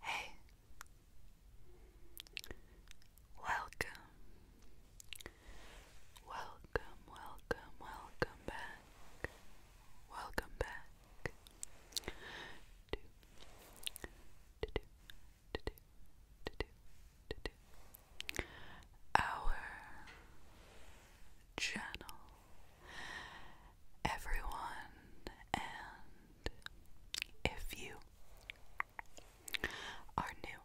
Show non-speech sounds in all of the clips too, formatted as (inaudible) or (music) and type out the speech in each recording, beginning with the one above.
Hey, welcome, welcome, welcome, welcome back, welcome back to our channel everyone, and if you are new,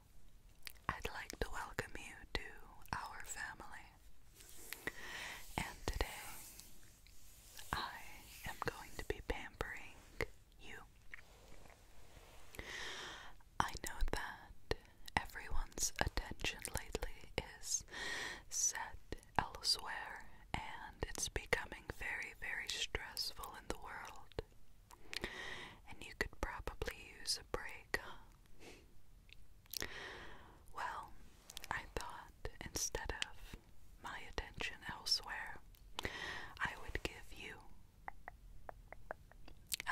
I'd like to welcome you to our family. And today, I am going to be pampering you. I know that everyone's attention lately is set elsewhere, and it's becoming very, very stressful in the world. And you could probably use a break, Well, I thought instead of my attention elsewhere, I would give you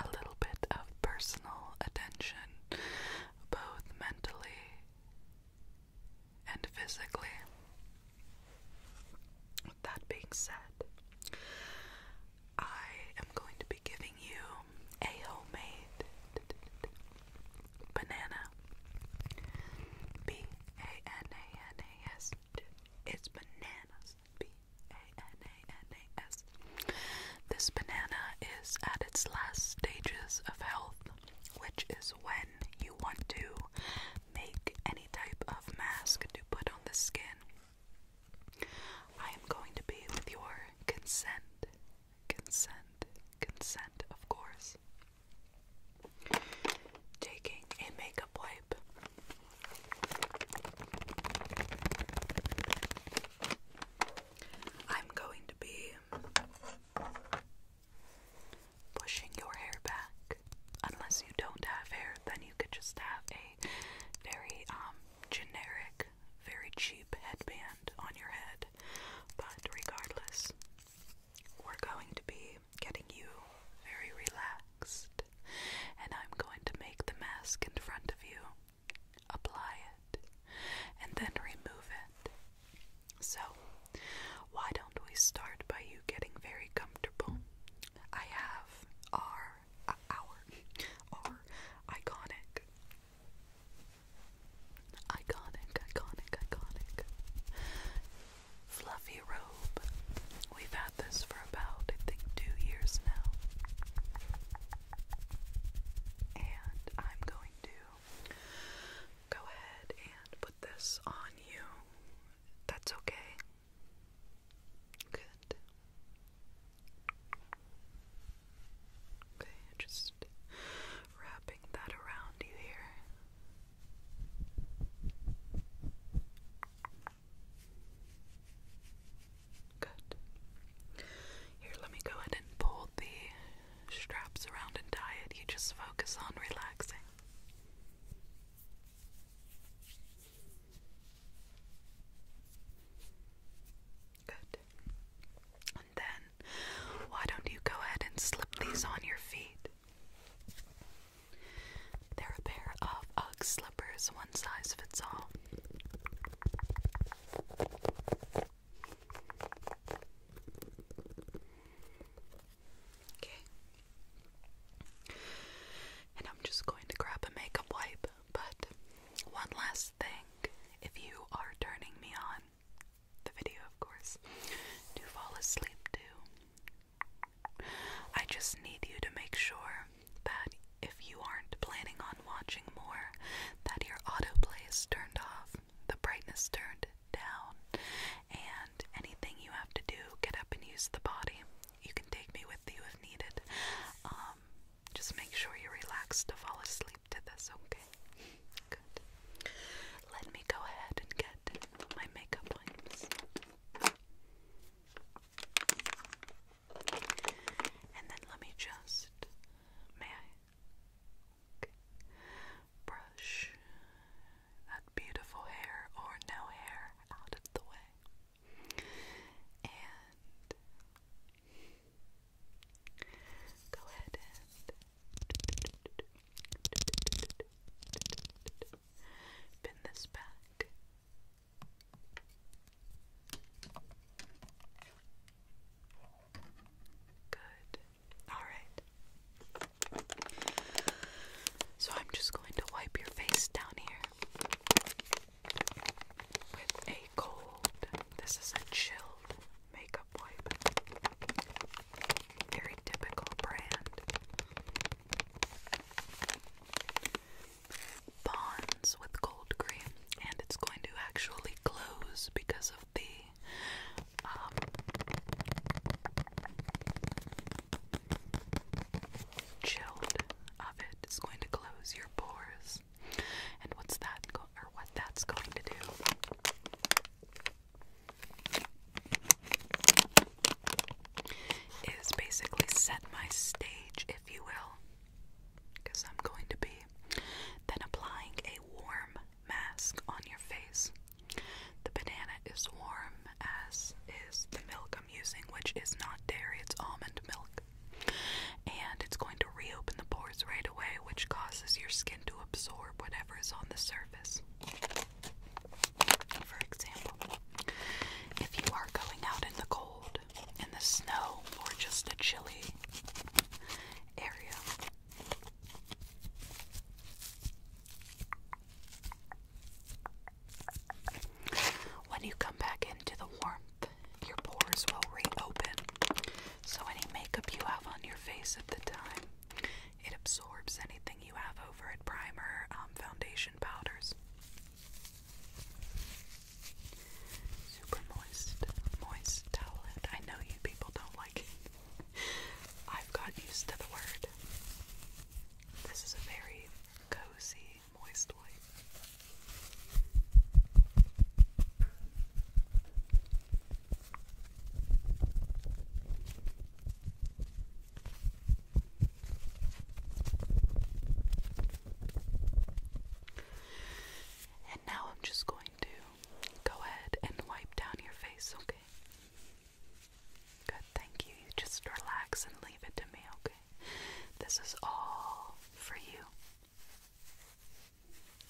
a little bit of personal attention, both mentally and physically. that being said, I am going to be giving you a homemade banana. B A N A N A S. It's bananas. B A N A N A S. This banana is at its last stages of health which is when you want to make any type of mask to put on the skin. I am going to be with your consent, consent, consent, of course. Taking a makeup wipe. I'm going to be pushing your hair back. Unless you don't have hair, then you could just have a very um, generic, very cheap headband on your head. But regardless, we're going to be getting you very relaxed, and I'm going to make the mask in front of you, apply it, and then remove it. So, why don't we start by you getting very comfortable? I have our, our, our iconic, iconic, iconic, iconic fluffy robe. We've had this for about, I think, two years now. And I'm going to go ahead and put this on you. That's okay. Good. Okay, just wrapping that around you here. Good. Here, let me go ahead and pull the straps around and tie it. You just focus on relaxing. Good. And then, why don't you go ahead and slip these on your feet? They're a pair of Ugg slippers, one size fits all. Okay. And I'm just going to grab a makeup wipe, but one last thing. If you are turning me on, the video of course, do fall asleep too. I just need you to make sure that if you aren't planning on watching more, that your autoplay is turned off, the brightness turned down. And anything you have to do, get up and use the body. You can take me with you if needed. Um, just make sure you're relaxed to fall asleep to this, okay? Good. Let me go ahead and get my makeup lines. And then let me just. May I? Brush that beautiful hair or no hair out of the way. And go ahead and pin this back. Good. Alright. So I'm just going to wipe your face down here with a cold, this is a chilled makeup wipe. Very typical brand. Bonds with cold cream, and it's going to actually close because of the chilled um, of it is going to close your pores, and what's that or what that's going to do is basically set my stage, if you will, because I'm going to be then applying a warm mask on your face. The banana is warm, as is the milk I'm using, which is not dairy, it's almond milk. And it's going to reopen the pores right away, which causes your skin to absorb whatever is on the surface. For example, if you are going out in the cold, in the snow, or just a chilly area, when you come back into the warmth, your pores will reopen. So, any makeup you have on your face at the time, it absorbs anything you have over it primer, um, foundation powders. Super moist, moist towelette. I know you people don't like (laughs) I've got used to the word. This is a very cozy, moist light. And now I'm just going to go ahead and wipe down your face, okay? Good, thank you. just relax and leave it to me, okay? This is all for you.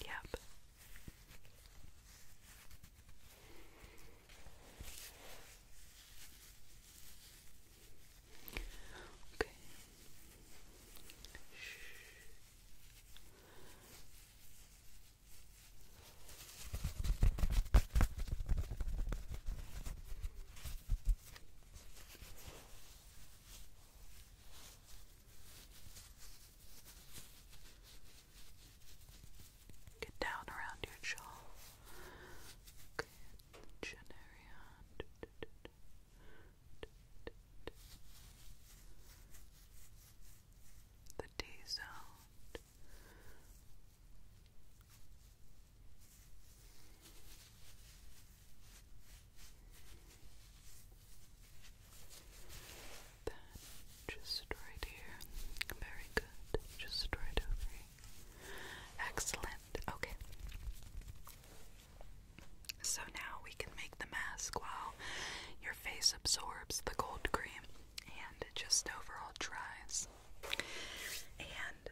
Yep. Okay. Shh. Get down around your jaw. Okay, the T sound. Then just right here. Very good. Just right over here. Excellent. Okay. So now we can make the mask while face absorbs the cold cream and it just overall dries. And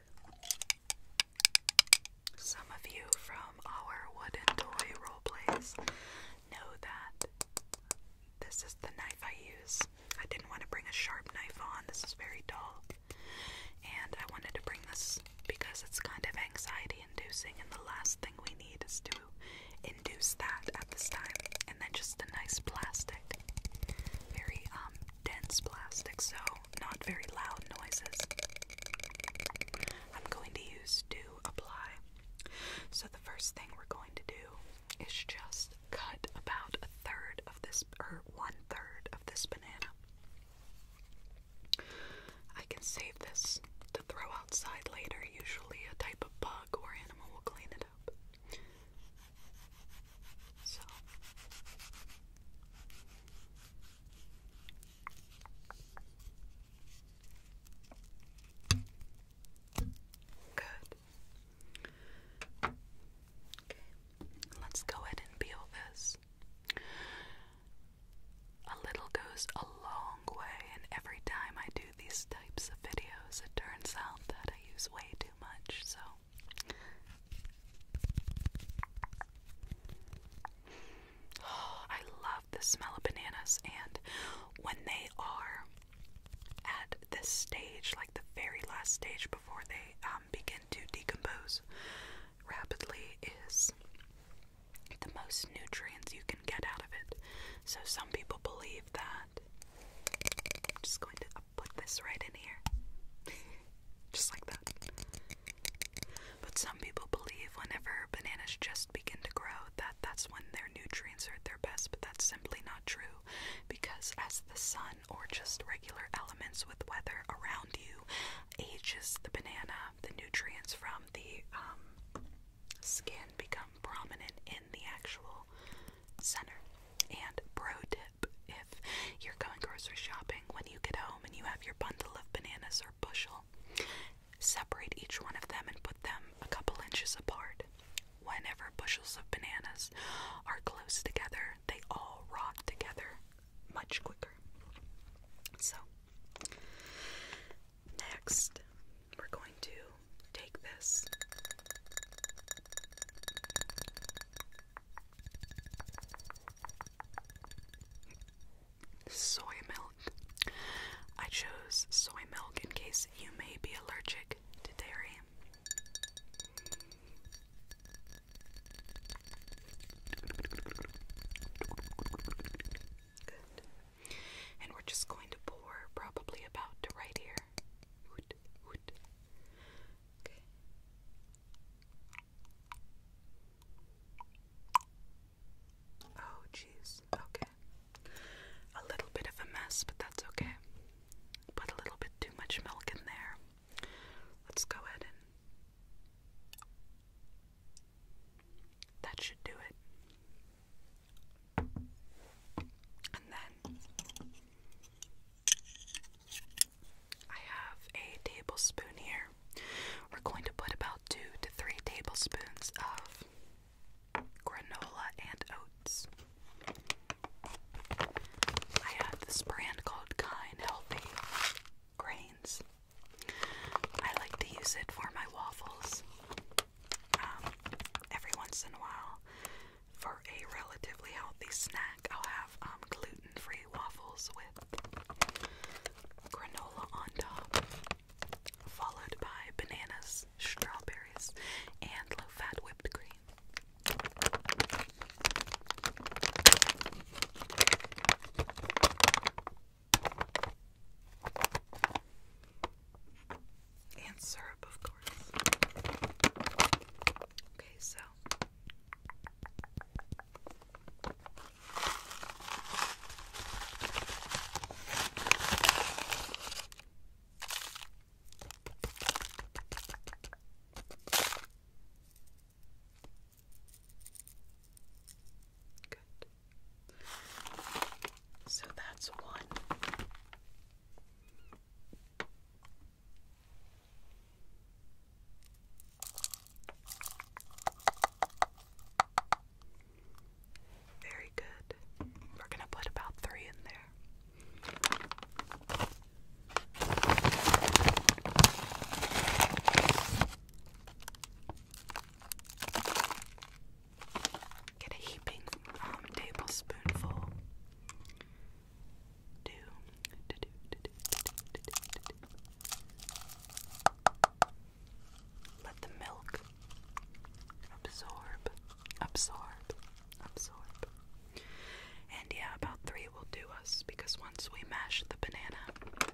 some of you from our wooden toy role plays know that this is the knife I use. I didn't want to bring a sharp knife on, this is very dull. And I wanted to bring this because it's kind of anxiety inducing, and the last thing we need is to induce that at this time. And then just a nice plastic, very um, dense plastic, so not very loud noises. I'm going to use to apply. So the first thing we're going to do is just cut about a third of this, or one third of this banana. I can save this to throw outside later, usually a type of bug or animal will clean it up. So. Good. Okay, let's go ahead and peel this. A little goes a long way, and every time I do these types of videos, it turns out that I use way too much, so. (sighs) I love the smell of bananas, and when they are at this stage, like the very last stage before they um, begin to decompose rapidly, is the most nutrients you can get out of it. So some people believe that. I'm just going to put this right in here. just like that. But some people believe whenever bananas just begin to grow that that's when their nutrients are at their best, but that's simply not true because as the sun or just regular elements with weather around you ages the banana, the nutrients from the um skin become prominent in the actual center. And pro tip if you're going grocery shopping, when you get home and you have your bundle of bananas or bushel, separate each one of them and put them a couple inches apart. Whenever bushels of bananas are close together, they all rot together much quicker. So, Next, we're going to take this soy milk. I chose soy milk in case you may be allergic to dairy. Good. And we're just going to pour probably about to right here. Okay. Oh, jeez. Okay. A little bit of a mess, but that's okay. Put a little bit too much milk in there. Let's go ahead and that should do it. And then I have a tablespoon here. We're going to put about two to three tablespoons of granola and oats. I have this brand called Kind Healthy Grains. I like to use it for my waffles. Um, every once in a while, for a relatively healthy snack, I'll have um, gluten-free waffles with granola on top, followed by bananas, strawberries, and low-fat whipped cream. And syrup, of course. Okay, so. Good. So that's one. Very good. We're going to put about three in there. Get a heaping tablespoonful. Do, Let the milk absorb, absorb, absorb. And yeah, about three will do us because once we mash the banana,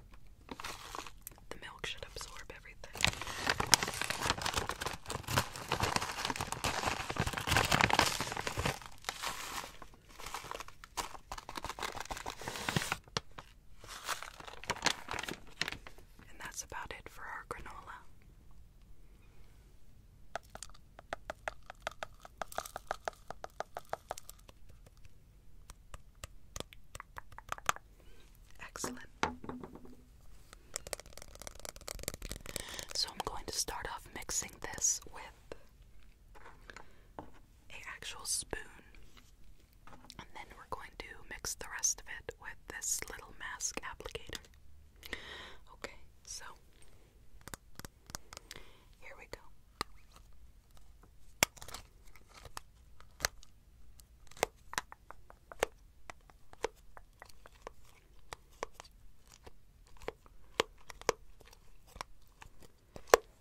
the milk should absorb everything. And that's about it for our granola. Excellent. So I'm going to start off mixing this with a actual spoon. And then we're going to mix the rest of it with this little mask applicator. Okay, so here we go.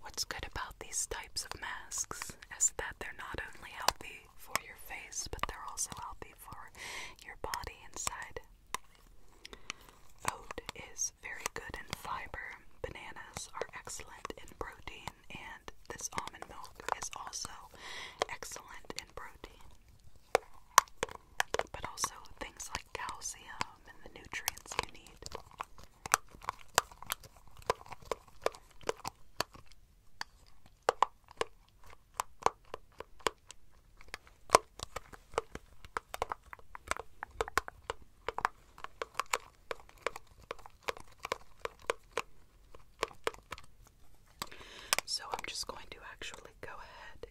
What's good about these types of masks is that they're not only healthy for your face, but they're also healthy for your body inside. Oat is very good in fiber, bananas are excellent in protein, and this almond milk is also excellent in protein. But also things like calcium and the nutrients you need. So I'm just going to actually go ahead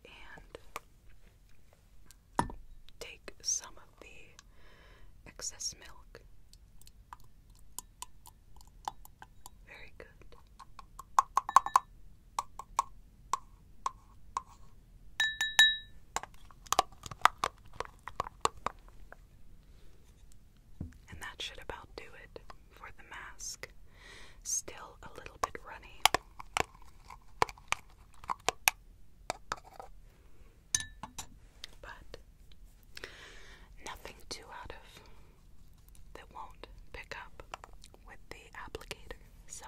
and take some of the excess milk. Very good. And that should about do it for the mask. Still a little bit runny. But nothing too out of that won't pick up with the applicator. So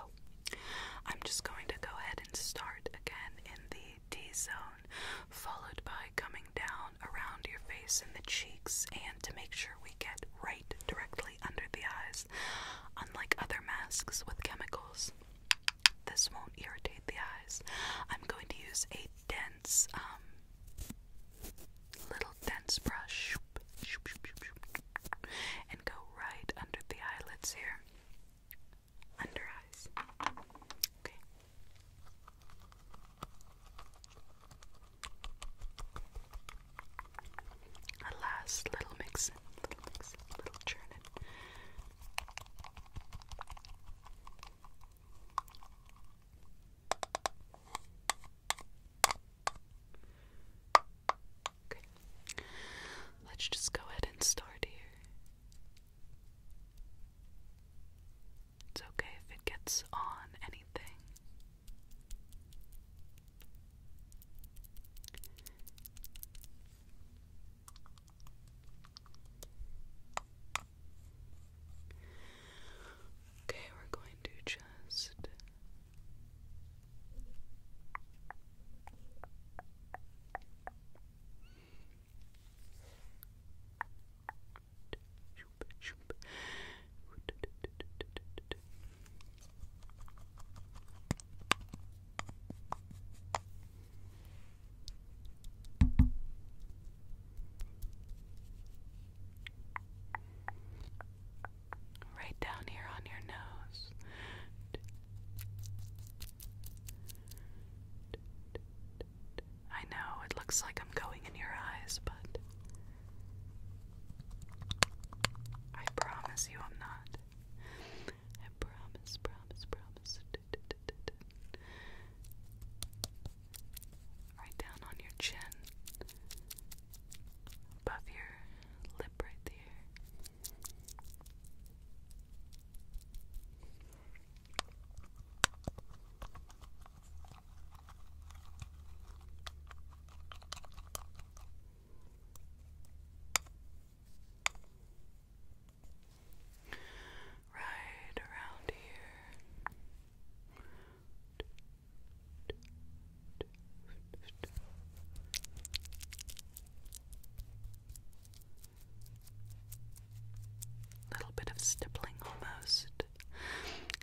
I'm just going to go ahead and start again in the T zone followed by coming down around your face and the cheeks, and to make sure we get right directly under the eyes. Unlike other masks with chemicals, this won't irritate the eyes. I'm going to use a dense, um, little dense brush and go right under the eyelids here. Under eyes. Okay. Alas, little mixin, little mixin, little churnin. Okay, let's just go ahead and start here. It's okay if it gets on anything. Okay, we're going to just Right down here on your nose. I know it looks like I'm going in your eyes, but I promise you I'm not. I promise, promise, promise. Right down on your chin, above your lip right there. Right around here. Little bit of stippling almost.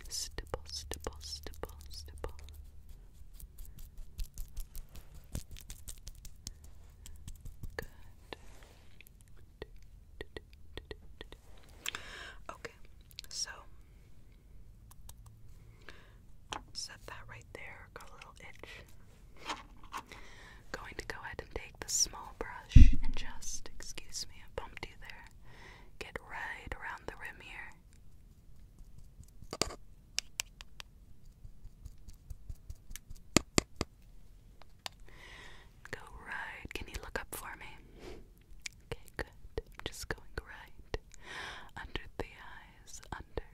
Stipple, stipple, stipple, stipple. Good. Okay, so set that right there. Got a little itch. Going to go ahead and take the small brush and just, excuse me, I bumped you there, get right around the rim here. Go right. Can you look up for me? Okay, good. just going right under the eyes. Under,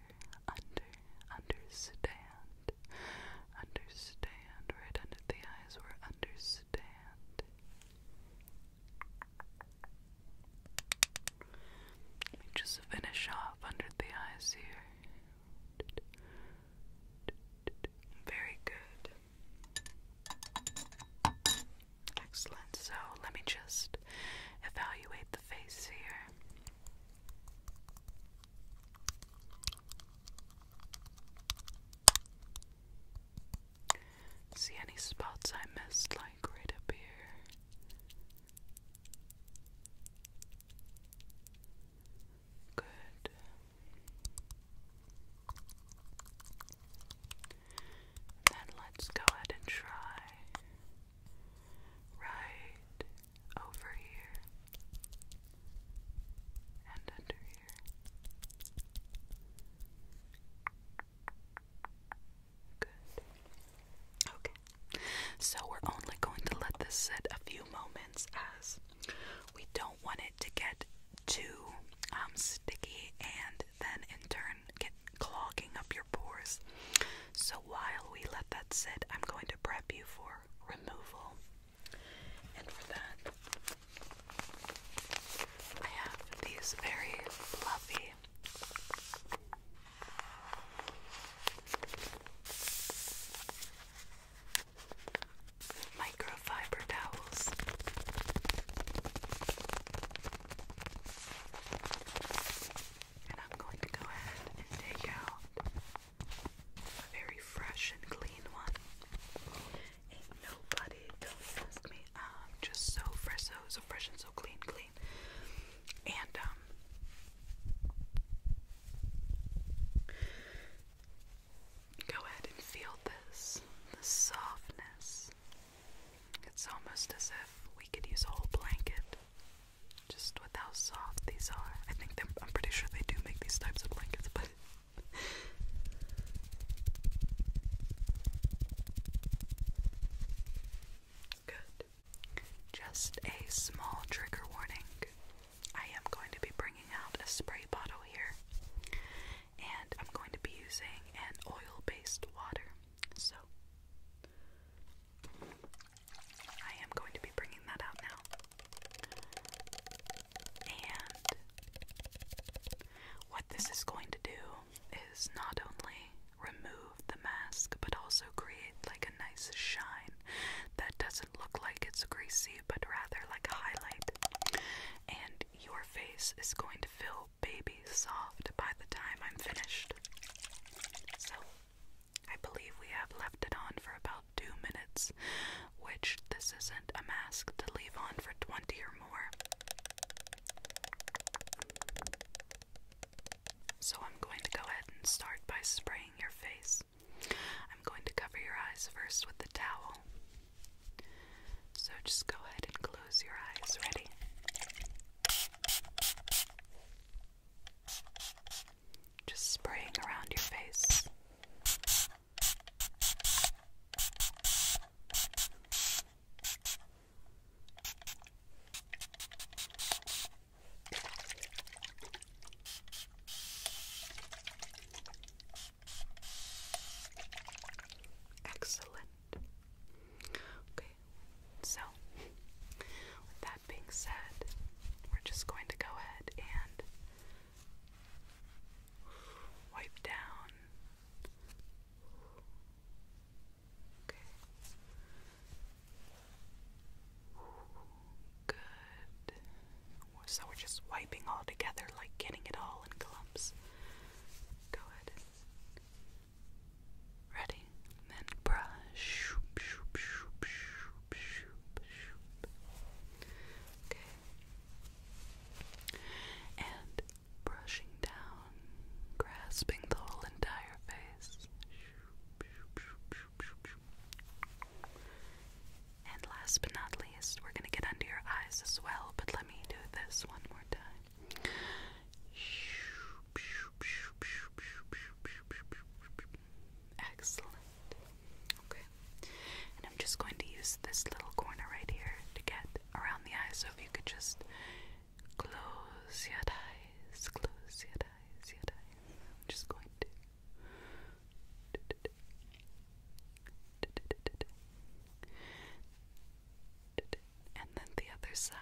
under, understand. Understand. Right under the eyes. We're understand. Let me just finish off under the eyes here. Very good. Excellent. So let me just evaluate the face here. See any spots I missed, like right up here? Good. Then let's go ahead and try right over here and under Good. Okay. So we're only going to let this sit a few moments as we don't want it to get too um, sticky and then in turn get clogging up your pores. So while we let that sit, I'm going to prep you for removal. And for that, I have these very fluffy microfiber towels. And I'm going to go ahead and take out a very fresh and clean one Ain't nobody, don't ask me. just so fresh, so fresh and so clean, clean. And um, go ahead and feel this, the softness. It's almost as if we could use a whole blanket. Just how soft these are. I think I'm pretty sure they do make these types of blankets, but Good. Just a small trigger warning. I am going to be bringing out a spray bottle here, and I'm going to be using an oil based water. So, I am going to be bringing that out now. And what this is going to do is not only remove the mask, but also create like a nice shine that doesn't look like it's greasy, but rather like a highlight. And your face is going to feel baby soft by the time I'm finished. So, I believe we have left it on for about two minutes, which this isn't a mask to leave on for 20 or more. So I'm going to go ahead and start by spraying your face. I'm going to cover your eyes first with the towel. So just go ahead and close your eyes. Ready? Just spraying around your face. Excellent. Okay, so with that being said, we're just going to go ahead and Wipe down. Okay. Good. So we're just wiping all together, like getting it all in clumps. Go ahead. Ready? then brush. Okay and brushing down, grasping the whole entire face. And last but not least, we're going to get under your eyes as well, but let me do this one more time. Excellent. Okay. And I'm just going to use this little corner right here to get around the eye. So if you could just close your eyes, close your eyes, your eyes. I'm just going to. And then the other side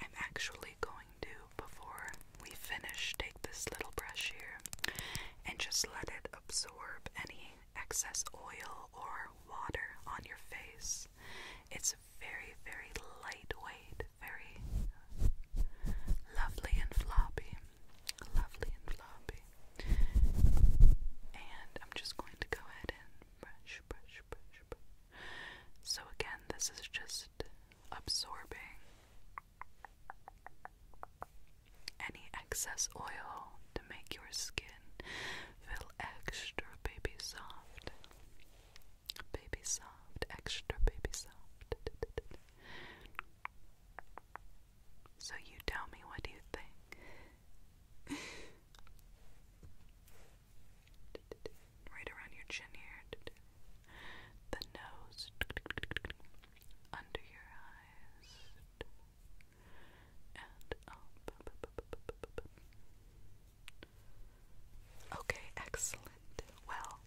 I'm actually going to, before we finish, take this little brush here and just let it absorb any excess oil or water on your face. It's very, very lightweight, very lovely and floppy. Lovely and floppy. And I'm just going to go ahead and brush, brush, brush, brush. So, again, this is just absorbing any excess oil to make your skin feel extra baby soft. Baby soft, extra baby soft. So, you tell me what you think. (laughs) right around your chin here, the nose, under your eyes, and Okay, excellent. Well,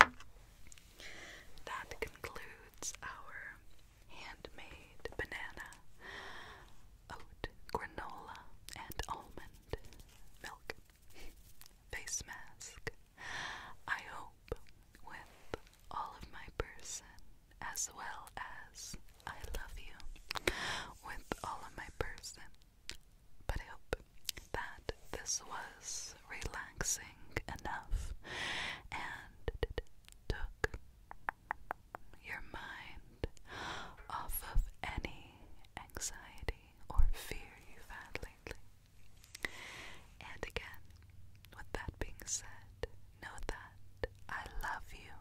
that concludes our handmade banana, oat, granola, and almond milk face mask. I hope with all of my person as well as I love you with all of my person. But I hope that this was relaxing enough and took your mind off of any anxiety or fear you've had and again, with that being said, know that I love you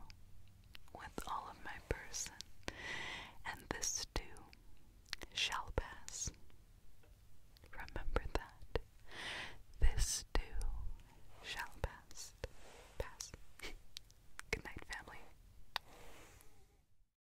with all of my person, and this too shall pass. Remember that. This too shall pass. Pass. (laughs) Good night, family.